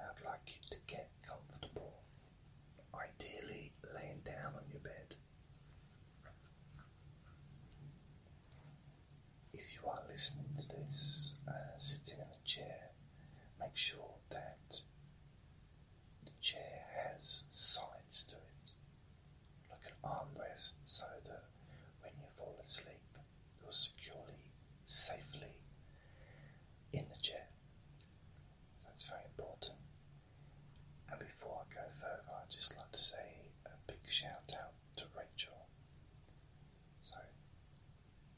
I'd like you to get comfortable, ideally laying down on your bed. If you are listening to this uh, sitting in a chair, make sure that the chair has sides to it, like an armrest, so that when you fall asleep, you're securely, safely in the chair. That's very important. And before I go further, i just like to say a big shout out to Rachel. So,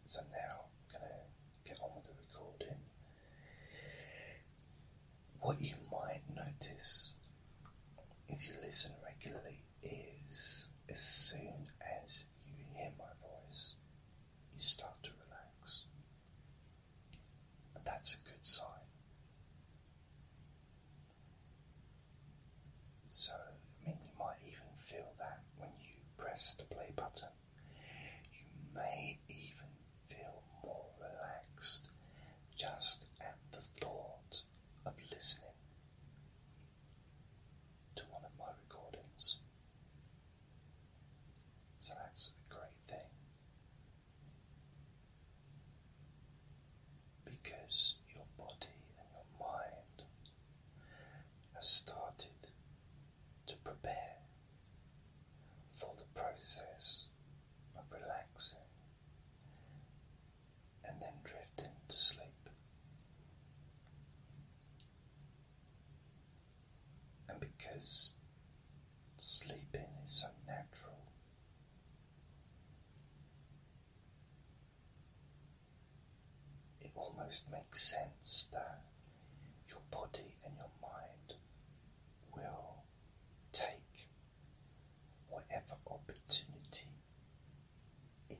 so now I'm going to get on with the recording. What you might notice if you listen regularly is as soon as you hear my voice, you start to relax. That's a good sign. So, I you might even feel that when you press the play button. You may even feel more relaxed just at the thought of listening to one of my recordings. So that's a great thing because your body and your mind have started to prepare for the process of relaxing and then drifting to sleep and because sleeping is so natural. It almost makes sense that your body and your mind will take whatever opportunity it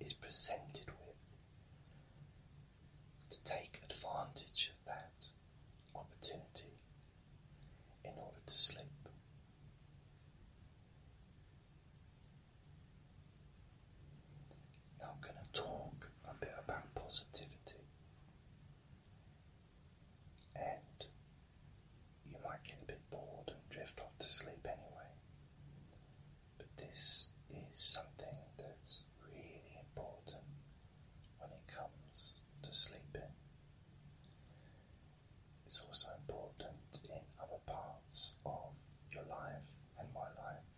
is presented with to take advantage of that opportunity in order to sleep. Now, I'm going to talk a bit about positivity, and you might get a bit bored and drift off to sleep anyway, but this is something that's really important when it comes to sleeping. It's also important in other parts of your life and my life.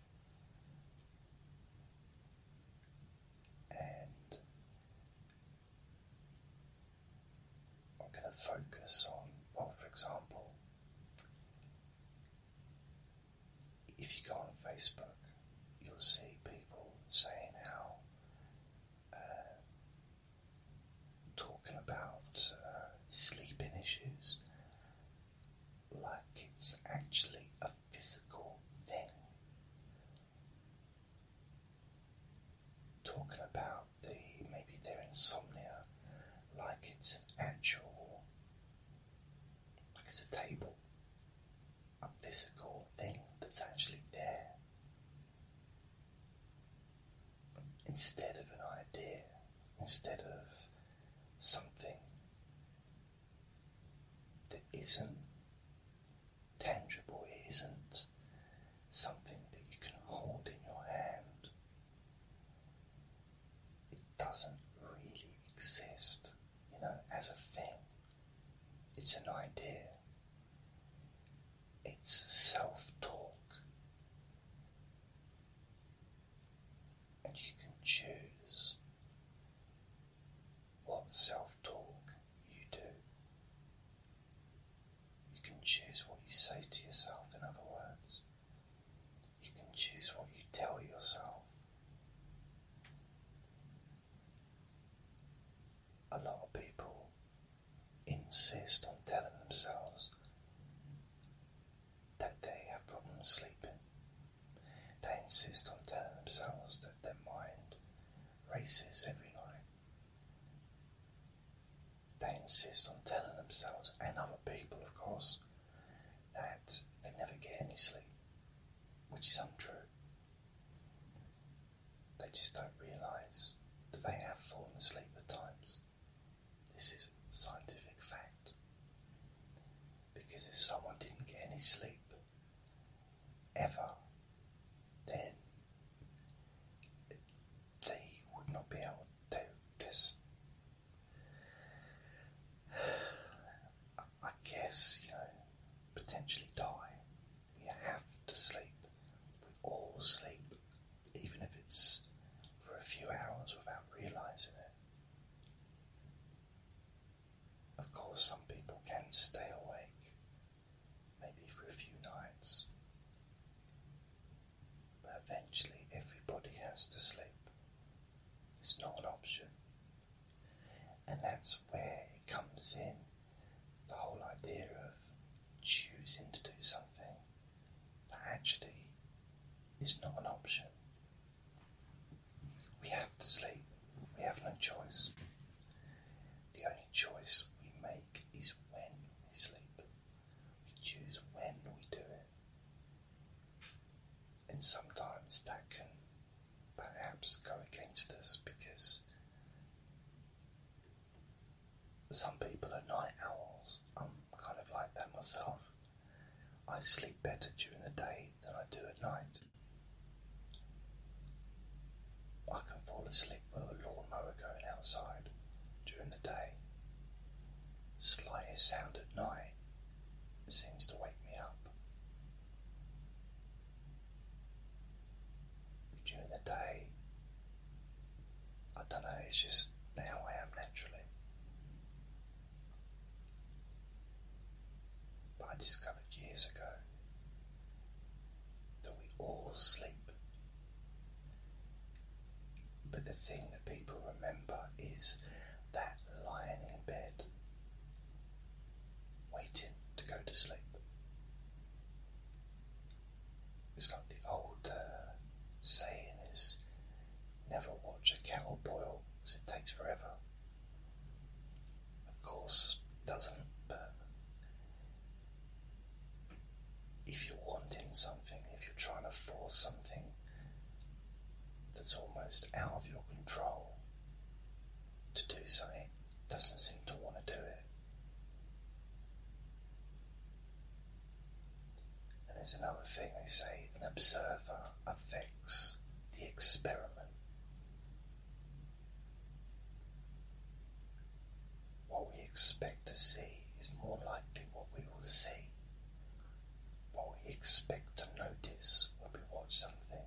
And I'm going to focus on, well, for example, if you go on Facebook, you'll see people saying how uh, talking about uh, sleeping issues like it's actually a physical thing. Talking about the maybe their insomnia like it's an actual like it's a table a physical thing that's actually there instead of an idea, instead of something that isn't tangible, it isn't something that you can hold in your hand. It doesn't really exist you know, as a thing. It's an idea. It's self talk. And you can choose what self talk you do. You can choose what you say to yourself, in other words. You can choose what you tell yourself. A lot of people insist on telling themselves that they have problems sleeping. They insist on telling themselves that their mind races every night. They insist on telling themselves and other people, of course, that they never get any sleep, which is untrue. They just don't realise that they have fallen asleep at times. This is scientific fact. Because if someone didn't get any sleep ever, then they would not be able to just. I guess, you know, potentially die. You have to sleep. We all sleep, even if it's for a few hours without realizing it. Of course, some people can stay awake, maybe for a few nights, but eventually everybody has to sleep. It's not an option. And that's where it comes in the whole idea of choosing to do something that actually is not an option. We have to sleep, we have no choice. The only choice we make is when we sleep, we choose when we do it and sometimes that can perhaps go against us because some people are night owls. I'm kind of like that myself. I sleep better during the day than I do at night. I can fall asleep with a lawnmower going outside during the day. Slightest sound at night seems to wake me up during the day. I don't know, it's just how I am naturally. But I discovered years ago that we all sleep. But the thing that people remember is that lying in bed waiting to go to sleep. It's like the old uh, saying is never watch a kettle boil because it takes forever. Of course, it doesn't, but if you're wanting something, if you're trying to force something that's almost out of your control, to do something doesn't seem to want to do it. And there's another thing they say an observer affects the experiment. What we expect to see is more likely what we will see. What we expect to notice when we watch something,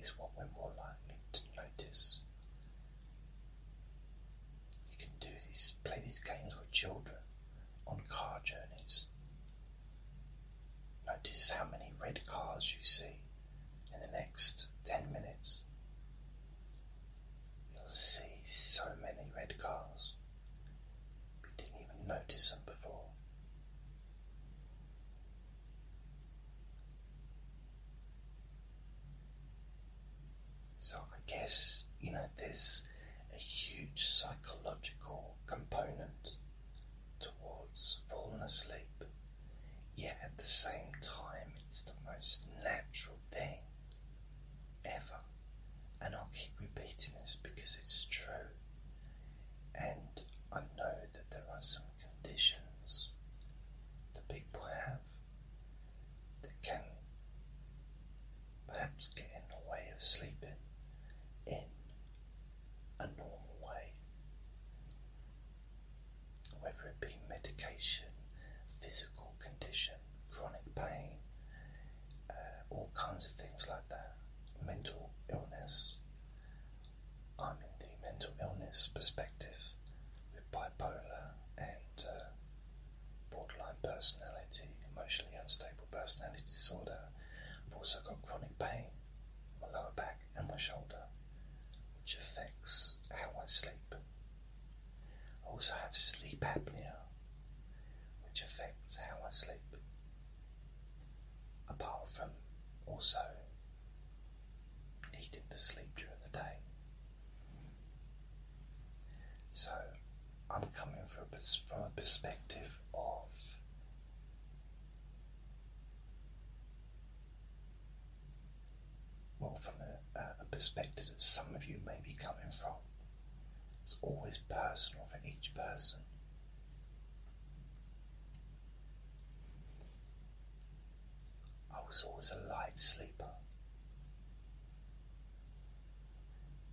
is what we're more likely to notice. You can do these, play these games with children on car journeys. Notice how many red cars you see in the next 10 minutes. You'll see so many red cars. We didn't even notice them before. So I guess, you know, there's a huge psychological component towards falling asleep, yet at the same time, it's the most natural thing ever. And I'll keep repeating this because it's true. And I know that there are some conditions that people have that can perhaps get in the way of sleeping in a normal way. Whether it be medication, physical condition, chronic pain, uh, all kinds of things like that, mental illness, I'm in the mental illness perspective with bipolar and uh, borderline personality, emotionally unstable personality disorder. I've also got chronic pain, my lower back and my shoulder, which affects how I sleep. I also have sleep apnea, which affects how I sleep apart from also needing to sleep during the day. So I'm coming from a, perspective of well, from a perspective that some of you may be coming from. It's always personal for each person. I was always a light sleeper,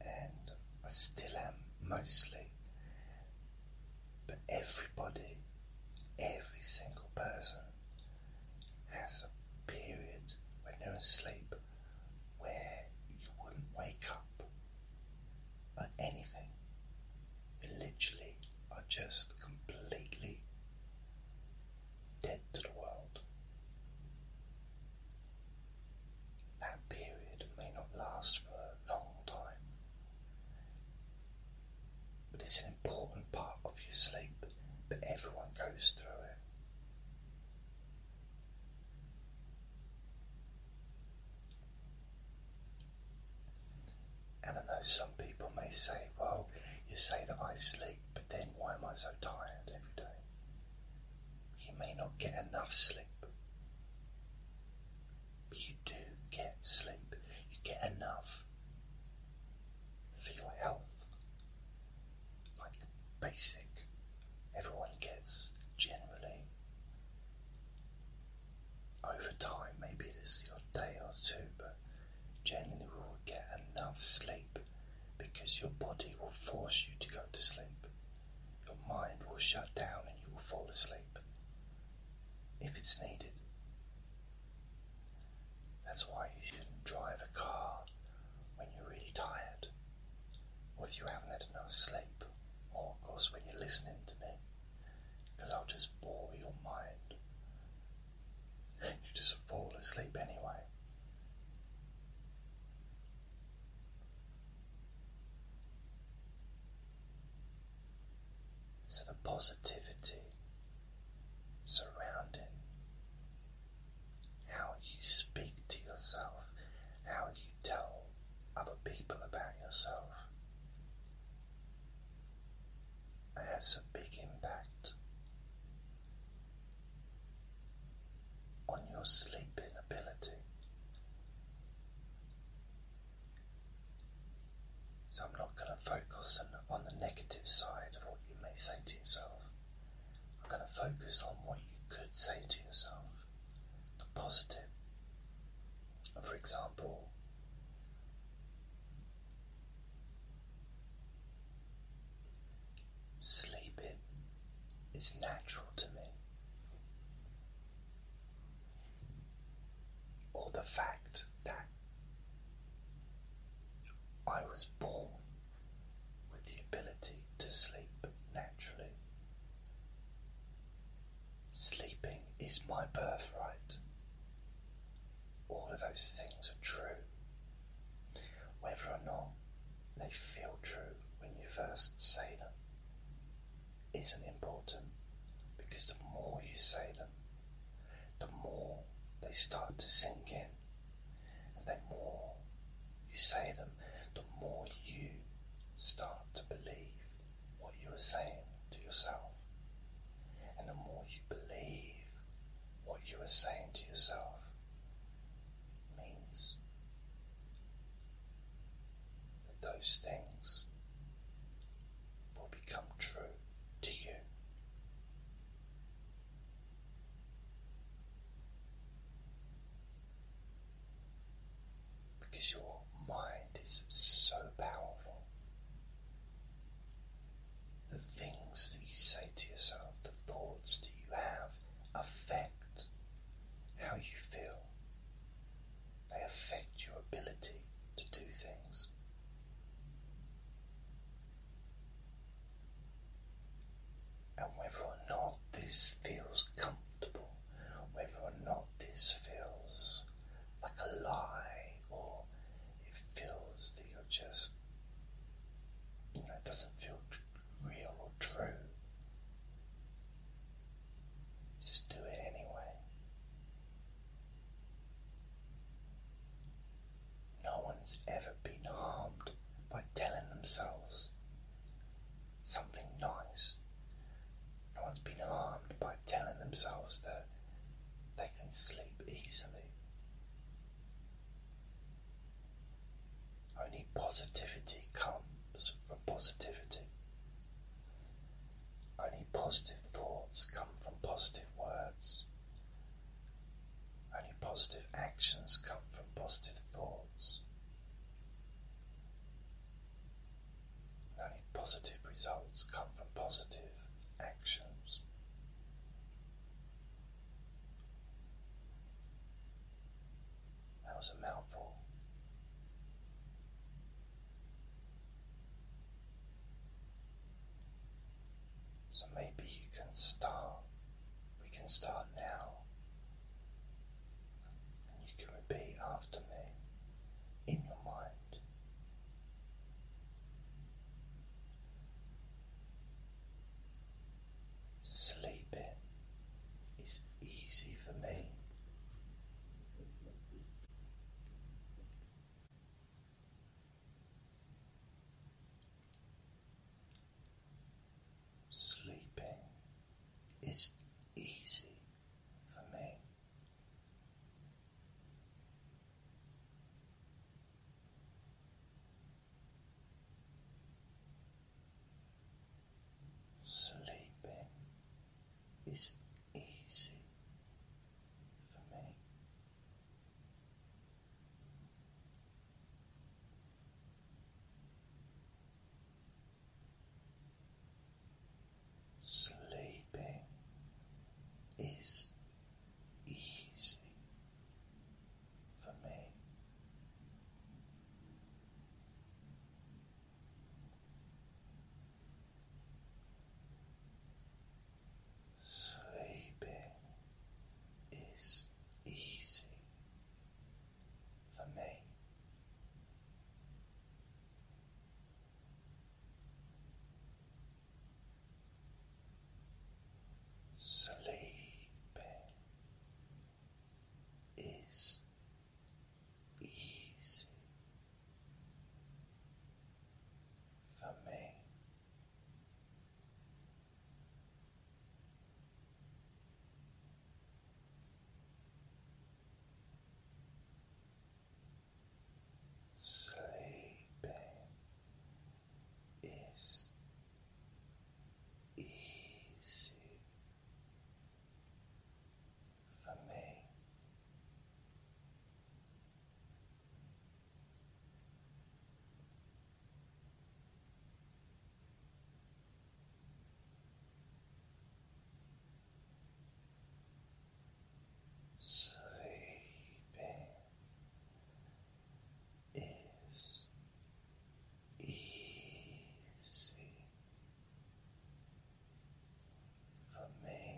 and I still am mostly, but everybody, every single person has a period when they're asleep where you wouldn't wake up at anything. literally are just completely dead to the world. That period may not last for a long time, but it's an important part of your sleep, but everyone goes through it. And I know some people may say, well, you say that I sleep, but then why am I so tired every day? You may not get enough sleep, but you do get sleep. You get enough for your health. Like basic, everyone gets generally over time, maybe it is your day or two, but generally we will get enough sleep because your body will force you to go to sleep. Your mind will shut down and you will fall asleep if it's needed. That's why you shouldn't drive a car when you're really tired, or if you haven't had enough sleep, or of course when you're listening to me because I'll just bore your mind. and You just fall asleep anyway. So the positivity surrounding how you speak to yourself, how you tell other people about yourself, has a big impact on your sleeping ability. So, I'm not going to focus on, on the negative side of what you may say to yourself. I'm going to focus on what you could say to yourself, the positive for example, sleeping is natural to me, or the fact that I was born with the ability to sleep naturally. Sleeping is my birthright. All of those things are true. Whether or not they feel true when you first say them isn't important because the more you say them, the more they start to sink in. And the more you say them, the more you start to believe what you are saying to yourself. And the more you believe what you are saying to yourself means that those things will become true to you because your mind is so powerful. The things that you say to yourself, the thoughts that you have, affect how you feel. They affect your ability to do things. And whether or not this feels comfortable, whether or not this feels like a lie, or it feels that you're just, it doesn't feel real or true. Just do it anyway. No one's ever been harmed by telling themselves something nice no one's been harmed by telling themselves that they can sleep easily. Only positivity comes from positivity. Only positive thoughts come from positive words. Only positive actions come from positive thoughts. Only positive results come from positive actions. That was a mouthful. So maybe you can start, we can start now. you can repeat after me in your mind. Sleeping is easy for me. Sleeping is easy for me. Sleeping is easy for me. Sleeping is easy for me. Sleeping is easy for me. Sleeping is easy for me. Sleeping is easy for me. Sleeping is easy for me.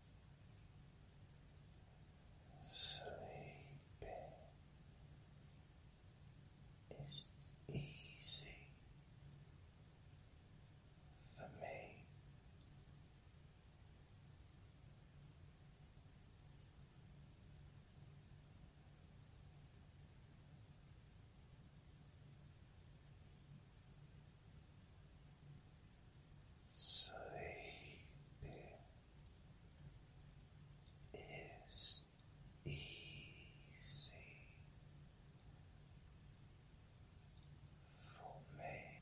Sleeping is easy for me. Sleeping is easy for me.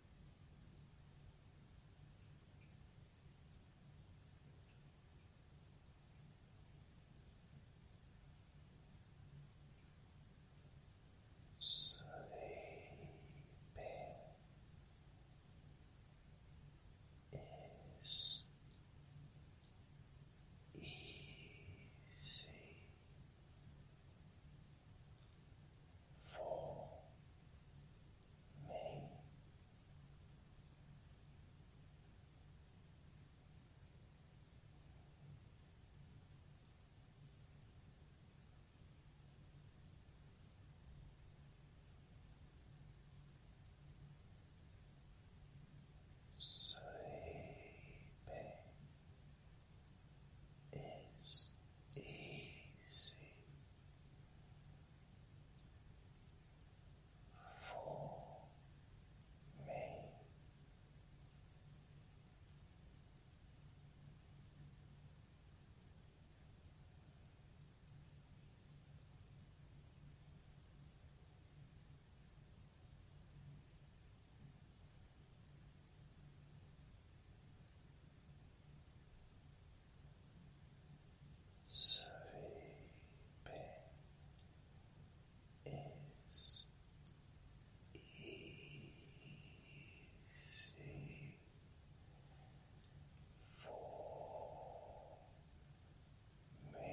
Sleeping is easy for me. Sleeping is easy for me. Sleeping is easy for me.